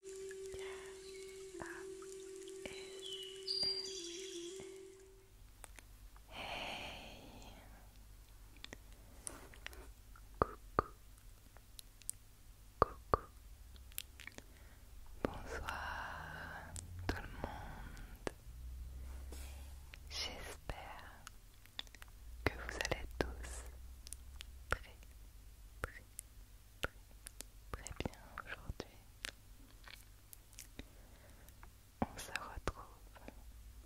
Hey Coucou Coucou Bonsoir tout le monde J'espère que vous allez tous très très très bien aujourd'hui. On se retrouve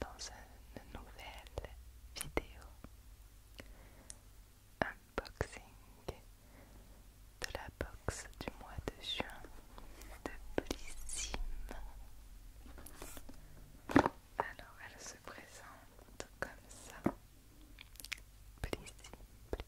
dans une nouvelle vidéo unboxing de la box du mois de juin de Bellissime Alors elle se présente comme ça.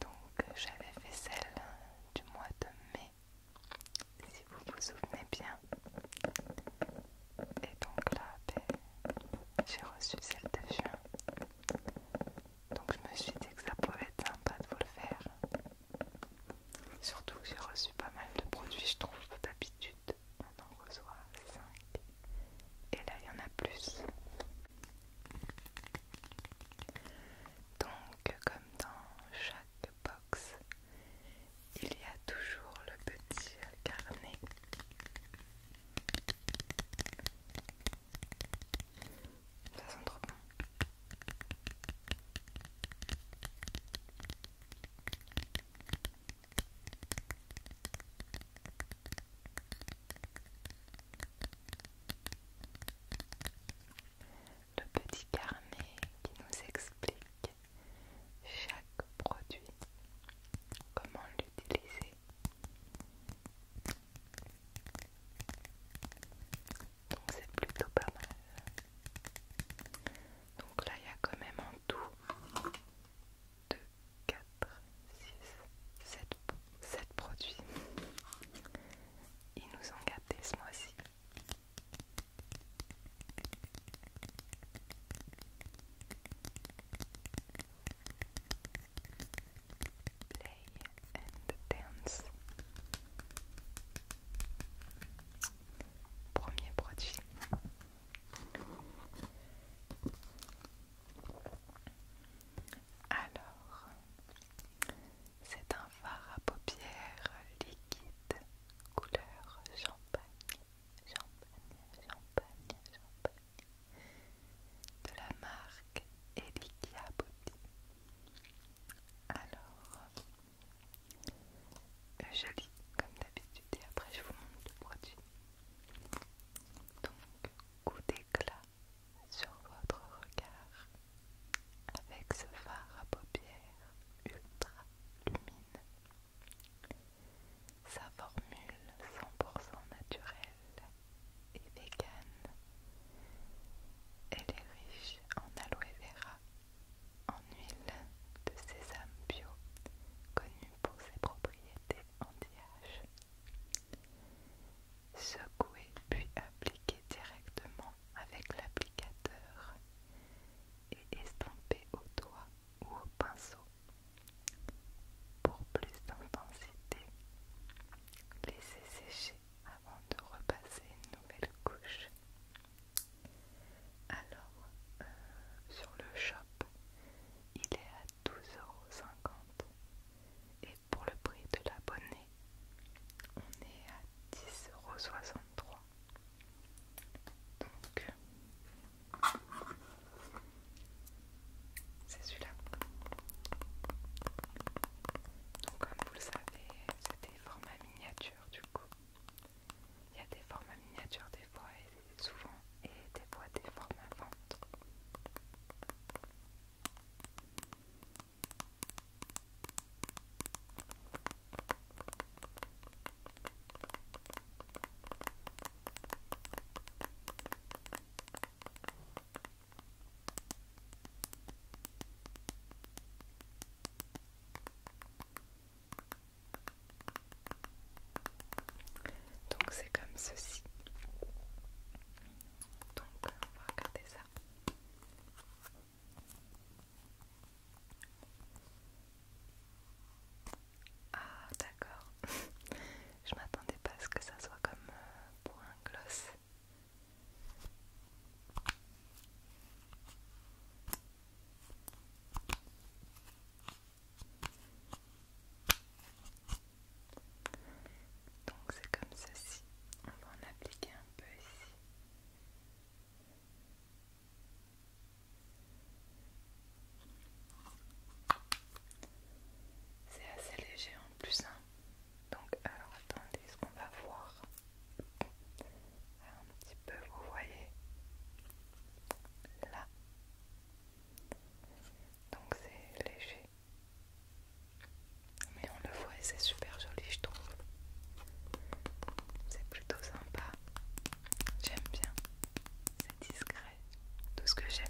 Donc euh, j'avais fait celle du mois de mai, si vous vous souvenez bien. Et donc là, ben, j'ai reçu celle de juin. Donc je me suis dit que ça pouvait être sympa de vous le faire. Surtout que j'ai reçu pas mal de produits, je trouve, d'habitude. maintenant en reçois 5. Et là, il y en a plus. Donc, comme dans chaque box, il y a toujours le petit carnet ça sent trop bon le petit carnet qui nous explique chaque produit, comment l'utiliser. Donc c'est plutôt pas mal. Donc là il y a quand même en tout 2, 4, 6, 7, produits. Ils nous ont gâtés ce mois-ci. Play dance. Premier produit. Alors, c'est un fard à paupières liquide couleur champagne, champagne, champagne, de la marque Elikia Body. Alors, euh, joli comme d'habitude et après je vous montre le produit. Donc, coup d'éclat sur votre regard avec ce phare à paupières ultra lumine, Sa formule 100% naturelle et végane. Elle est riche en aloe vera, en huile de sésame bio, connue pour ses propriétés anti-âge Secouez puis appliquez directement avec l'applicateur et estampez au doigt ou au pinceau. Pour plus d'intensité, laissez sécher avant de repasser une nouvelle couche. Alors, euh, sur le shop, il est à 12,50€ et pour le prix de l'abonné, on est à 10,63€. Donc, c'est celui-là. Donc, comme vous le savez, c'est des formats miniatures du coup. Il y a des formats miniatures des fois et souvent, et des voix des formes inventes. Donc c'est comme ceci. Donc va ça. Ah d'accord. Je m'attendais pas à ce que ça soit comme euh, pour un gloss. Donc c'est comme ceci. On va en appliquer un peu ici. C'est assez léger en plus. Hein. Donc alors attendez ce qu'on va voir. Un petit peu, vous voyez. Là donc c'est léger mais on le voit et c'est super joli je trouve c'est plutôt sympa j'aime bien c'est discret tout ce que j'aime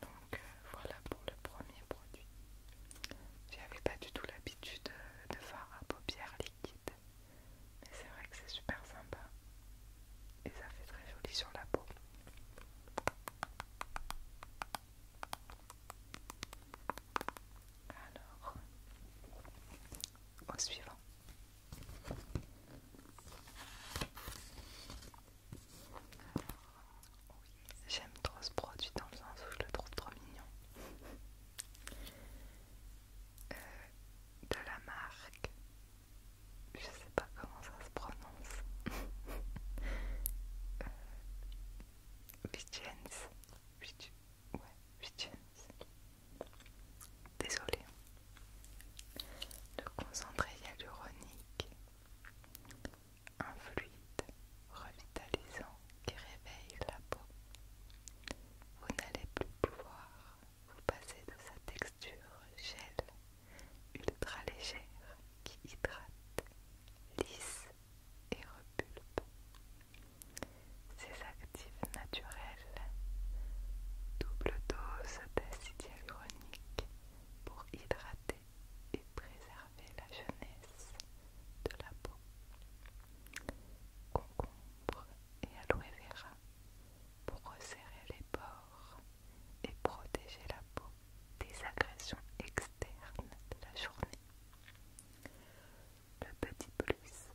donc euh, voilà pour le premier produit. J'avais pas du tout l'habitude euh, de faire à paupières liquide, mais c'est vrai que c'est super sympa et ça fait très joli sur la peau. Alors, au suivant. J'aime trop ce produit dans le sens où je le trouve trop mignon. Euh, de la marque, je sais pas comment ça se prononce. euh, Vigence. Ouais, Ouais, Désolée, le concentré hyaluronique, un fluide revitalisant qui réveille la peau. Vous n'allez plus pouvoir vous passer de sa texture gel ultra légère qui hydrate, lisse et repulpe. ses actifs naturels Double dose d'acide hyaluronique pour hydrater et préserver la jeunesse de la peau. Concombre et aloe vera pour resserrer les pores et protéger la peau des agressions externes de la journée. Le petit plus,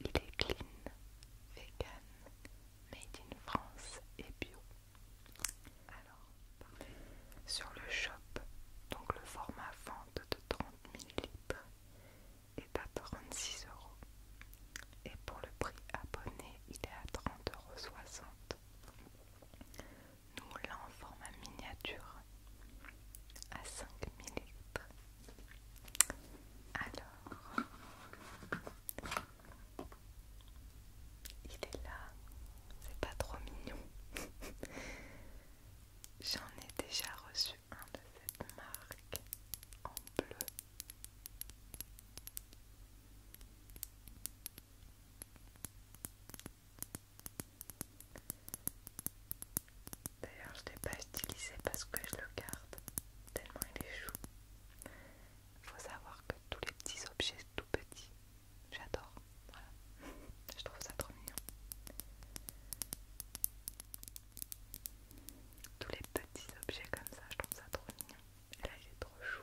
il est clean, vegan Made in France et bio. Alors, sur le shop, donc le format vente de 30 ml est à 36 euros. Et pour le prix abonné, il est à 30,60 euros. Nous, là en format miniature à 5 ml. Alors, il est là, c'est pas trop mignon. J'en ai déjà reçu un de cette marque en bleu. D'ailleurs, je ne l'ai pas stylisé parce que je le garde tellement il est chou. Il Faut savoir que tous les petits objets tout petits, j'adore. Voilà. Je trouve ça trop mignon. Tous les petits objets comme ça, je trouve ça trop mignon. Là, il est trop chou.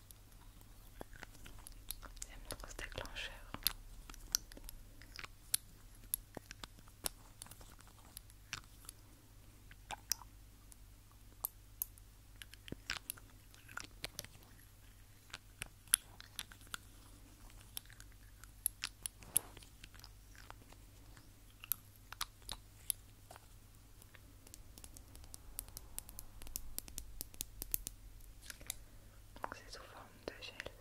J'aime trop ce déclencheur. Donc c'est sous forme de gel.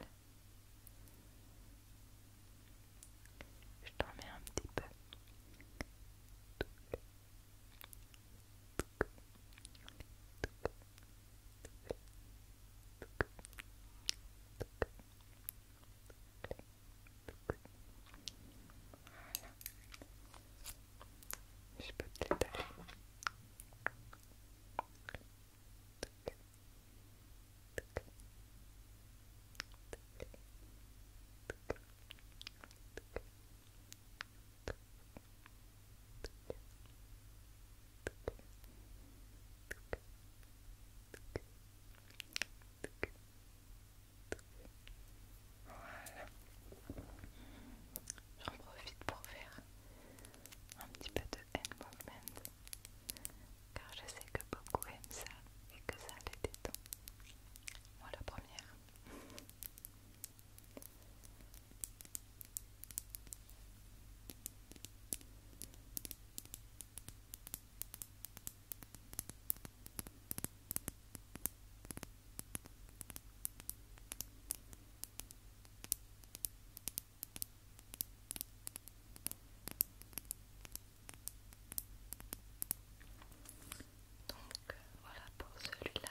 Je t'en mets un petit peu. Voilà. Je peux te l'étaler. Voilà. J'en profite pour faire un petit peu de hand movement car je sais que beaucoup aiment ça et que ça les détend. Moi la première. Donc euh, voilà pour celui-là.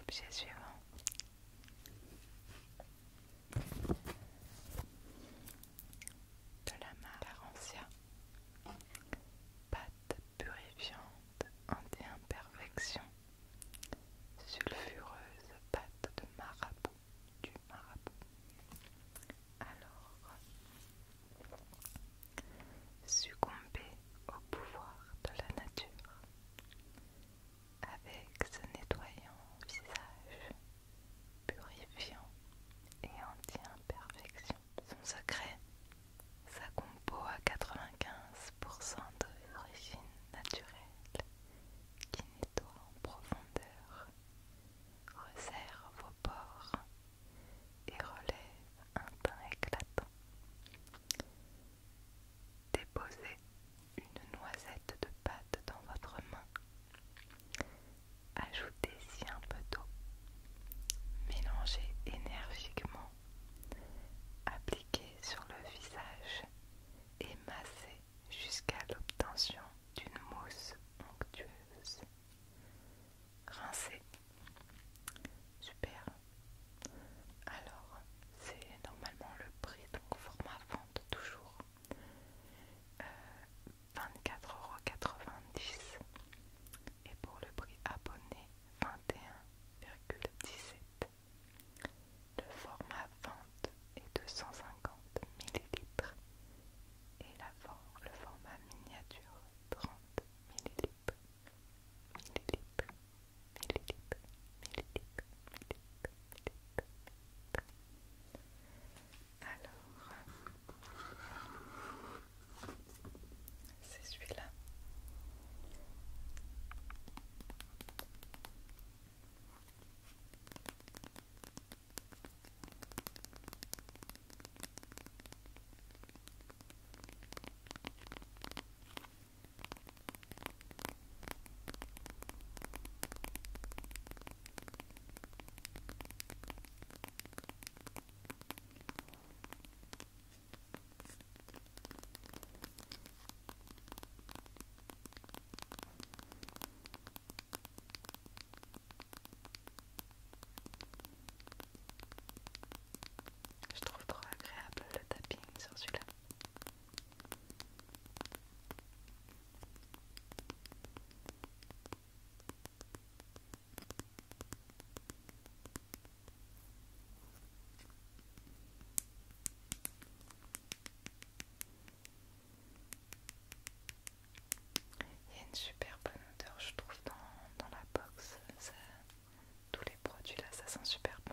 Objet suivant. De la marque Pâte purifiante anti-imperfection. Sulfureuse pâte de marabout. Du marabout. Alors, succomber au pouvoir de la nature avec ce nettoyant visage purifiant et anti-imperfection. Son secret, sa compo à 95% d'origine naturelle qui nettoie en profondeur, resserre vos pores et relève un teint éclatant. Déposez une noisette de pâte dans votre main. ajoutez si un peu d'eau. Mélangez énergiquement. Appliquez sur le visage et massez jusqu'à l'obtention d'une mousse onctueuse. Rincez. Super. Alors, c'est normalement le prix, donc format vente toujours. 24,90€ euh, et pour le prix abonné 21,17 le format vente est 250 ml et le format miniature 30 ml Philétique, Philétique, Philétique, Philétique, Alors, c'est celui-là. Je trouve trop agréable le tapping sur celui-là. Il y a une super bonne odeur, je trouve, dans, dans la box. Ça, tous les produits là, ça sent super bon.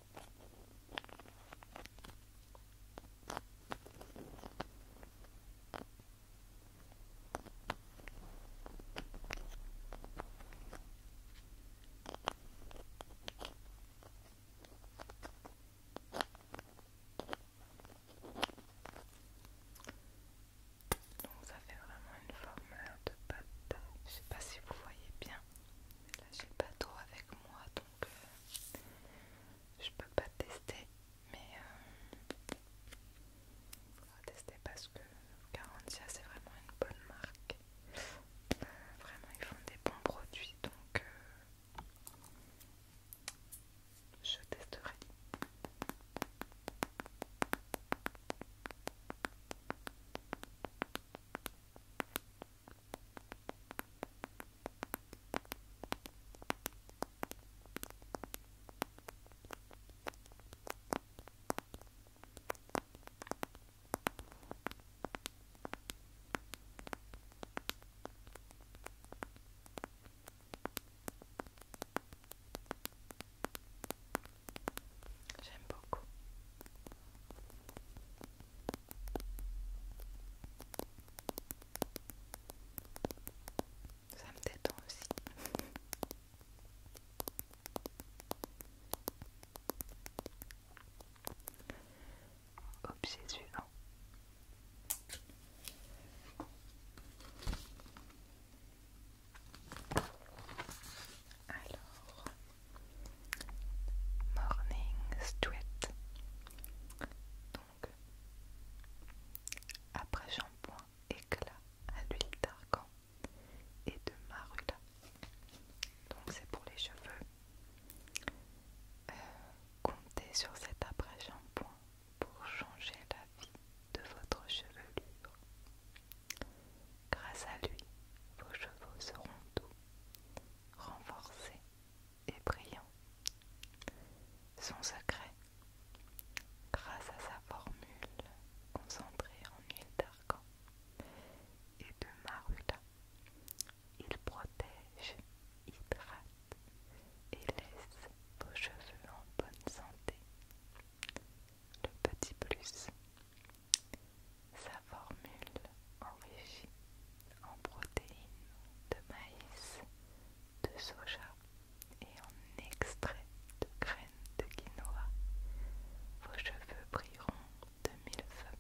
Donc ça fait vraiment une forme de pâte. Je sais pas si vous voyez bien. mais Là j'ai le bateau avec moi, euh, je peux pas tester, mais il euh, faudra tester parce que Garantia c'est vraiment une bonne marque. vraiment, ils font des bons produits donc euh, je testerai. J'aime beaucoup. Ça me détend aussi. Objet Alors, Morning Sweat. Donc, après shampoing, éclat à l'huile d'argan et de marula. Donc, c'est pour les cheveux. Euh, comptez sur cet après shampoing pour changer la vie de votre chevelure. Grâce à lui, vos cheveux seront doux, renforcés et brillant. Son secret, grâce à sa formule concentrée en huile d'argan et de marula, il protège, hydrate et laisse vos cheveux en bonne santé. Le petit plus, sa formule enrichie en protéines de maïs, de soja et en extrait de graines de quinoa, vos cheveux brilleront de mille feux.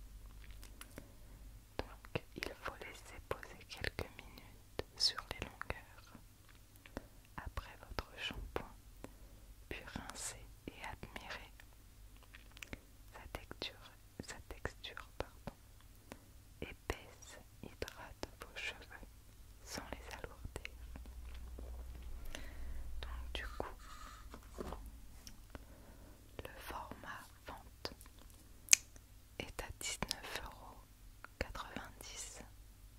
Donc il faut laisser poser quelques minutes sur les longueurs. Après votre shampoing, puis rincer et admirer Sa texture, sa texture pardon, épaisse hydrate vos cheveux sans les alourdir. Donc du coup, le format vente est à 19,90€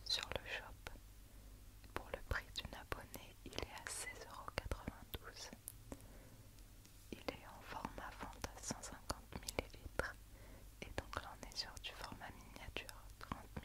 sur le shop. Pour le prix d'une abonnée, il est à 16,92€ il est en format fente à 150 ml et donc là on est sur du format miniature 30 ml.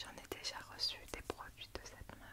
J'en ai déjà reçu des produits de cette marque.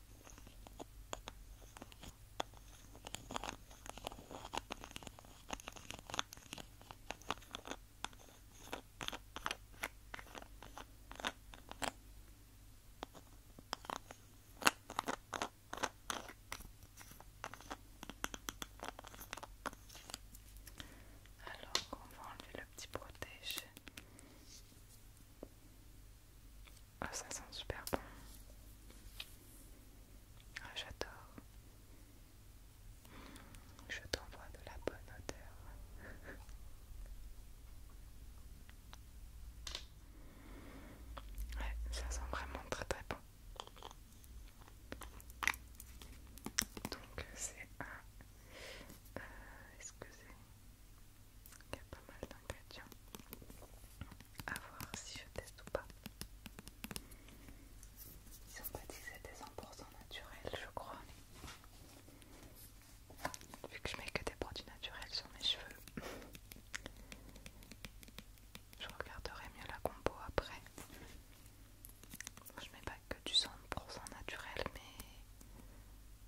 Alors on va enlever le petit protège ah, ça sent super bon. Ah, J'adore. Je t'envoie de la bonne odeur. Ouais, ça sent vraiment très très bon. Donc c'est un... Euh, est-ce que c'est... Il y a pas mal d'ingrédients. A voir si je teste ou pas. Ils sont pas dit 100% naturel, je crois. Vu que je mets que des produits naturels sur mes cheveux, je regarderai mieux la compo après. Je mets pas que du 100% naturel, mais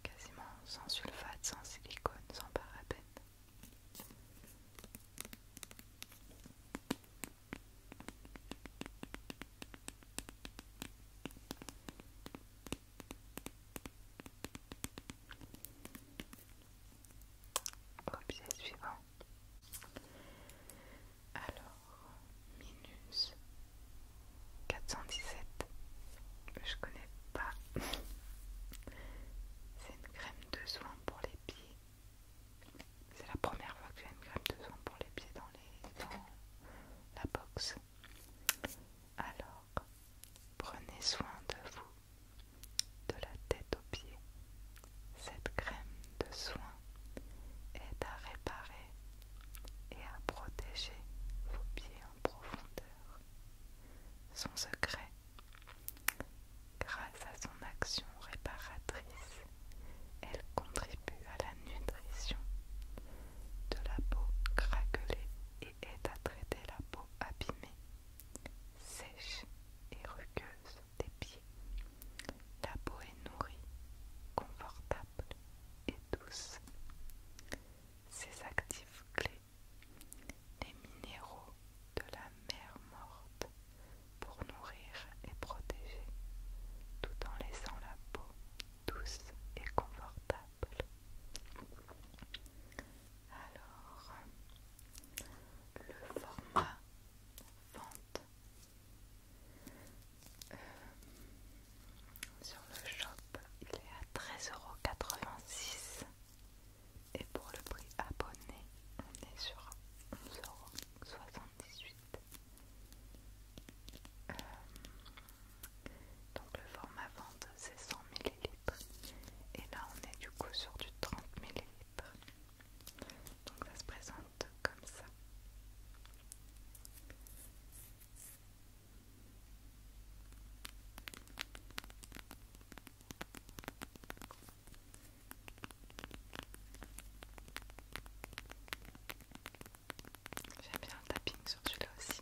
quasiment sans sulfate, sans silicone, sans paraben Objet suivant. Alors, minus 417. Je connais pas. C'est une crème de soins pour les pieds. C'est la première fois que j'ai une crème de soins pour les pieds dans, la box. Alors, prenez soin de vous, de la tête aux pieds. Cette crème de soin est à réparer et à protéger vos pieds en profondeur. Son secret Grâce à son action réparatrice, elle contribue à la nutrition de la peau craquelée et aide à traiter la peau abîmée, sèche et rugueuse des pieds. La peau est nourrie, confortable et douce. Ses actifs clés les minéraux de la mer morte pour nourrir et protéger, tout en laissant la peau douce et confortable. Alors, le format vente euh, sur le shop, il est à 13,86€ et pour le prix abonné on est sur 11,78€. Euh, donc le format vente c'est 100 ml et là on est du coup sur du 30 ml. Donc ça se présente comme ça. J'ai bien le tapping sur celui-là aussi.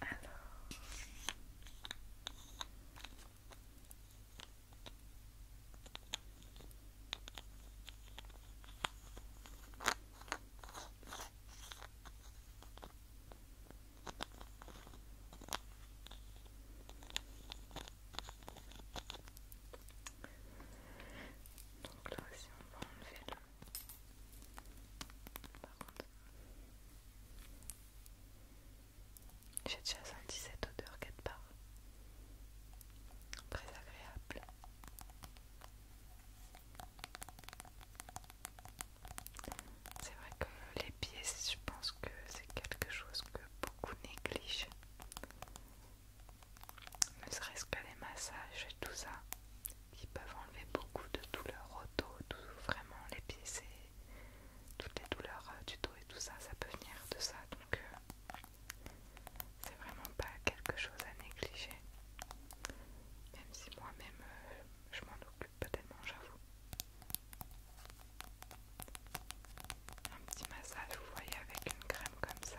Alors... Donc là aussi on va enlever le j'ai déjà senti cette odeur quelque part. Très agréable. C'est vrai que les pieds, je pense que c'est quelque chose que beaucoup négligent ne serait-ce que les massages et tout ça, qui peuvent enlever beaucoup de douleurs au dos, vraiment les pieds, toutes les douleurs euh, du dos et tout ça, ça peut venir de ça, donc euh, c'est vraiment pas quelque chose à négliger, même si moi-même euh, je m'en occupe pas tellement, j'avoue. Un petit massage, vous voyez, avec une crème comme ça.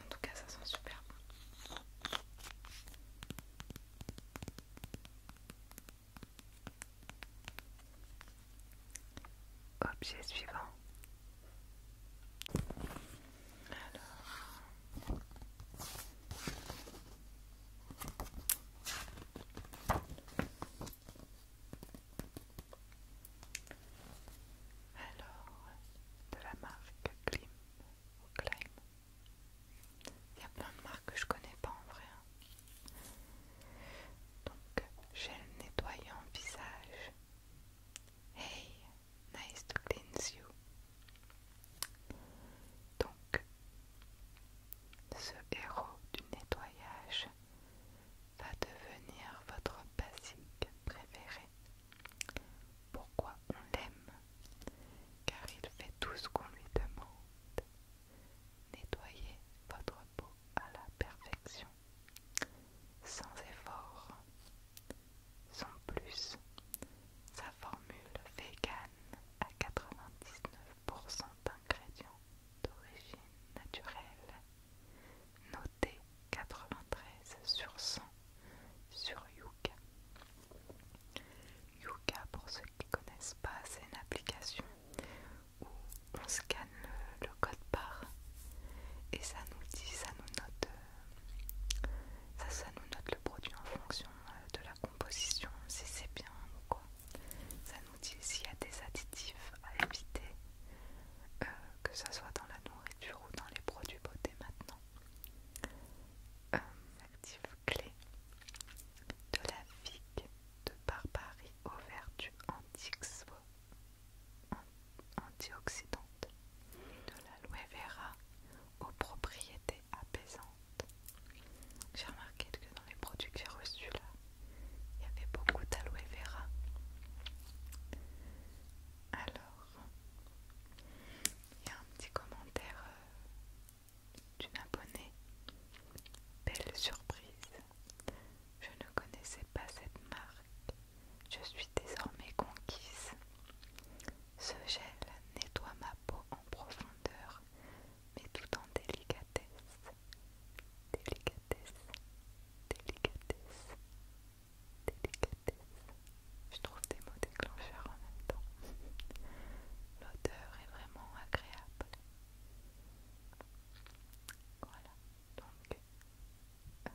En tout cas, ça sent super bon. Objet suivant. Alors, alors, de la marque Clean ou Il y a plein de marques que je connais pas en vrai. Hein. Donc, gel nettoyant visage. Hey, nice to cleanse you. Donc, ce héros du nettoyage va devenir votre basique préféré. Pourquoi on l'aime Car il fait tout ce qu'on lui demande. Nettoyez votre peau à la perfection, sans effort, sans plus. Sa formule vegan à 99% d'ingrédients d'origine naturelle, noté 93 sur 100 sur Yuka. Yuka, pour ceux qui ne connaissent pas, c'est une application où on scanne le, code barre et ça nous dit, ça nous note, euh, ça, ça nous note le produit en fonction euh, de la composition, si c'est bien ou quoi. Ça nous dit s'il y a des additifs à éviter, euh, que ce soit dans la nourriture ou dans les produits beauté maintenant. Euh, actif clé de la figue de Barbarie aux vertus antioxydantes, de l'aloe vera aux propriétés apaisantes. J'ai remarqué que dans les produits que j'ai reçus là, il y avait beaucoup d'aloe vera. Alors, il y a un petit commentaire euh, d'une abonnée. Belle surprise. Je ne connaissais pas cette marque. Je suis désormais conquise. Ce gel nettoie ma peau en profondeur mais tout en délicatesse. Délicatesse, délicatesse, délicatesse. Je trouve des mots déclencheurs en même temps. L'odeur est vraiment agréable. Voilà, donc euh,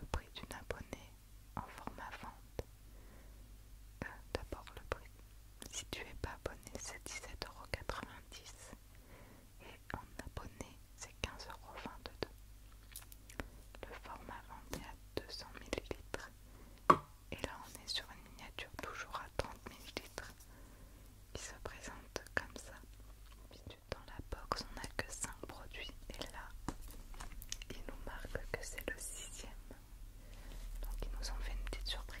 le prix d'une abonnée en format vente. Euh, d'abord le prix. Si tu n'es pas abonné, c'est 17,90€ et en abonné, c'est 15,22€. Le format vendu à 200ml. Et là, on est sur une miniature toujours à 30ml qui se présente comme ça. Dans la box, on a que 5 produits et là, il nous marque que c'est le sixième. Donc, ils nous ont fait une petite surprise.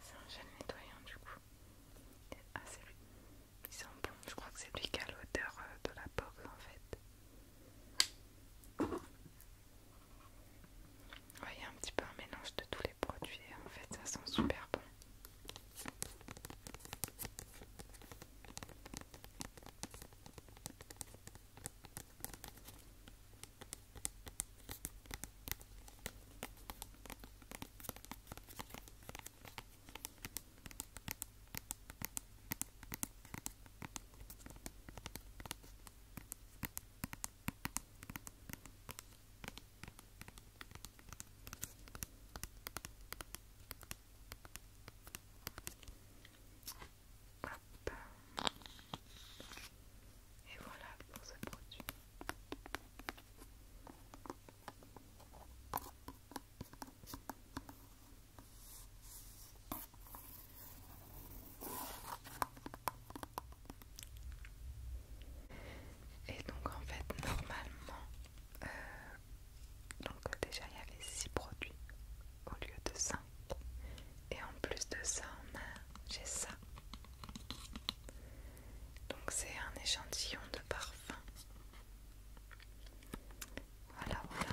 C'est un gel nettoyant du coup. Ah c'est lui. qui sent bon. Je crois que c'est lui qui a l'odeur euh, de la pomme en fait voyez un petit peu un mélange de tous les produits hein. en fait, ça sent super bon. Et voilà pour ce produit. Et donc en fait normalement, euh, donc déjà il y avait 6 produits au lieu de 5. Et en plus de ça, on a j'ai ça. Donc c'est un échantillon de parfum. Voilà, voilà.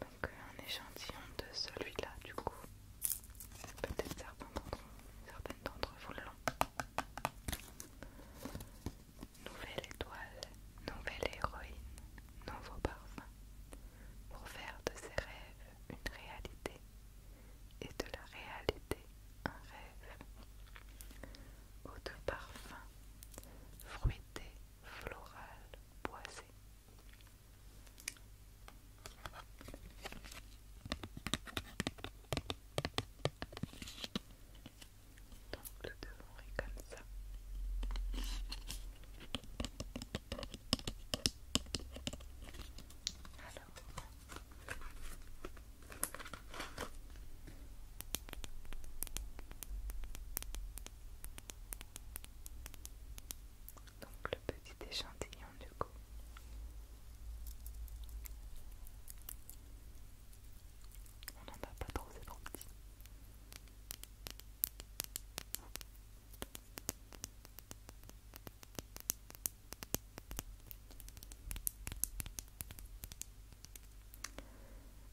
Donc euh, un échantillon de celui-là du coup. Peut-être certains d'entre certaines d'entre vous l'ont. Nouvelle étoile, nouvelle héroïne, nouveau parfum. Pour faire de ses rêves une réalité et de la réalité un rêve. Autre parfum, fruit des florales boisées Donc le devrait est comme ça. Alors, donc le petit échantillon du coup. On n'en a pas trop, c'est trop petit.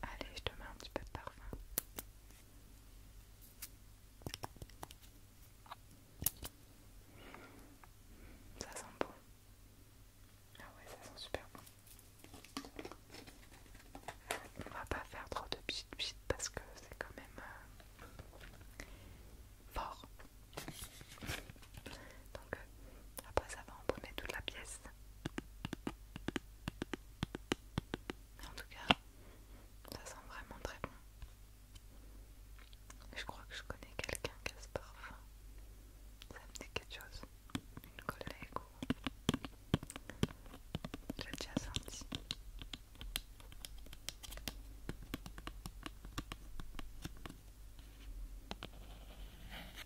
Allez, je te mets un petit peu de parfum. Ça sent bon. Ah ouais, ça sent super bon. On va pas faire trop de pchit pchit parce que c'est quand même euh, fort. Donc euh, après ça va embaumer toute la pièce en tout cas, ça sent vraiment très bon. Je crois que je connais quelqu'un qui a ce parfum. Ça me dit quelque chose. Une collègue ou. J'ai déjà senti.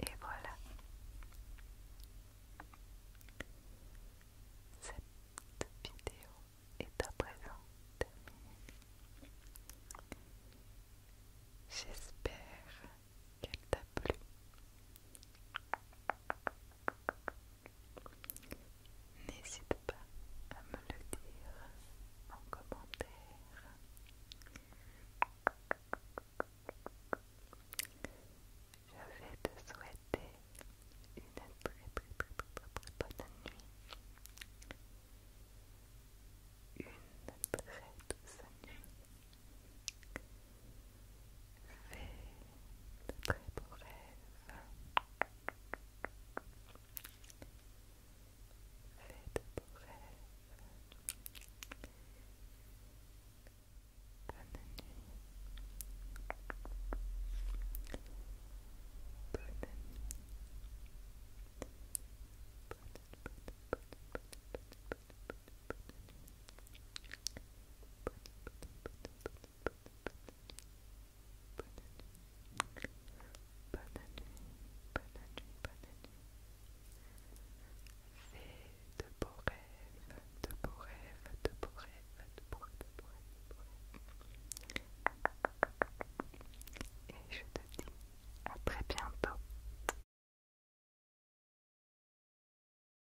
Et voilà. Cette vidéo est à présent terminée. J'espère qu'elle t'a plu. N'hésite pas à me le dire en commentaire. Je vais te souhaiter une très très très bonne nuit. Une très douce nuit de très beaux rêves. Fais de beaux rêves. Bonne nuit. Bonne nuit. bonne, Fais de beaux rêves, de beaux rêves, de beaux rêves, de beaux rêves, de beaux rêves. Et je te dis à très bientôt.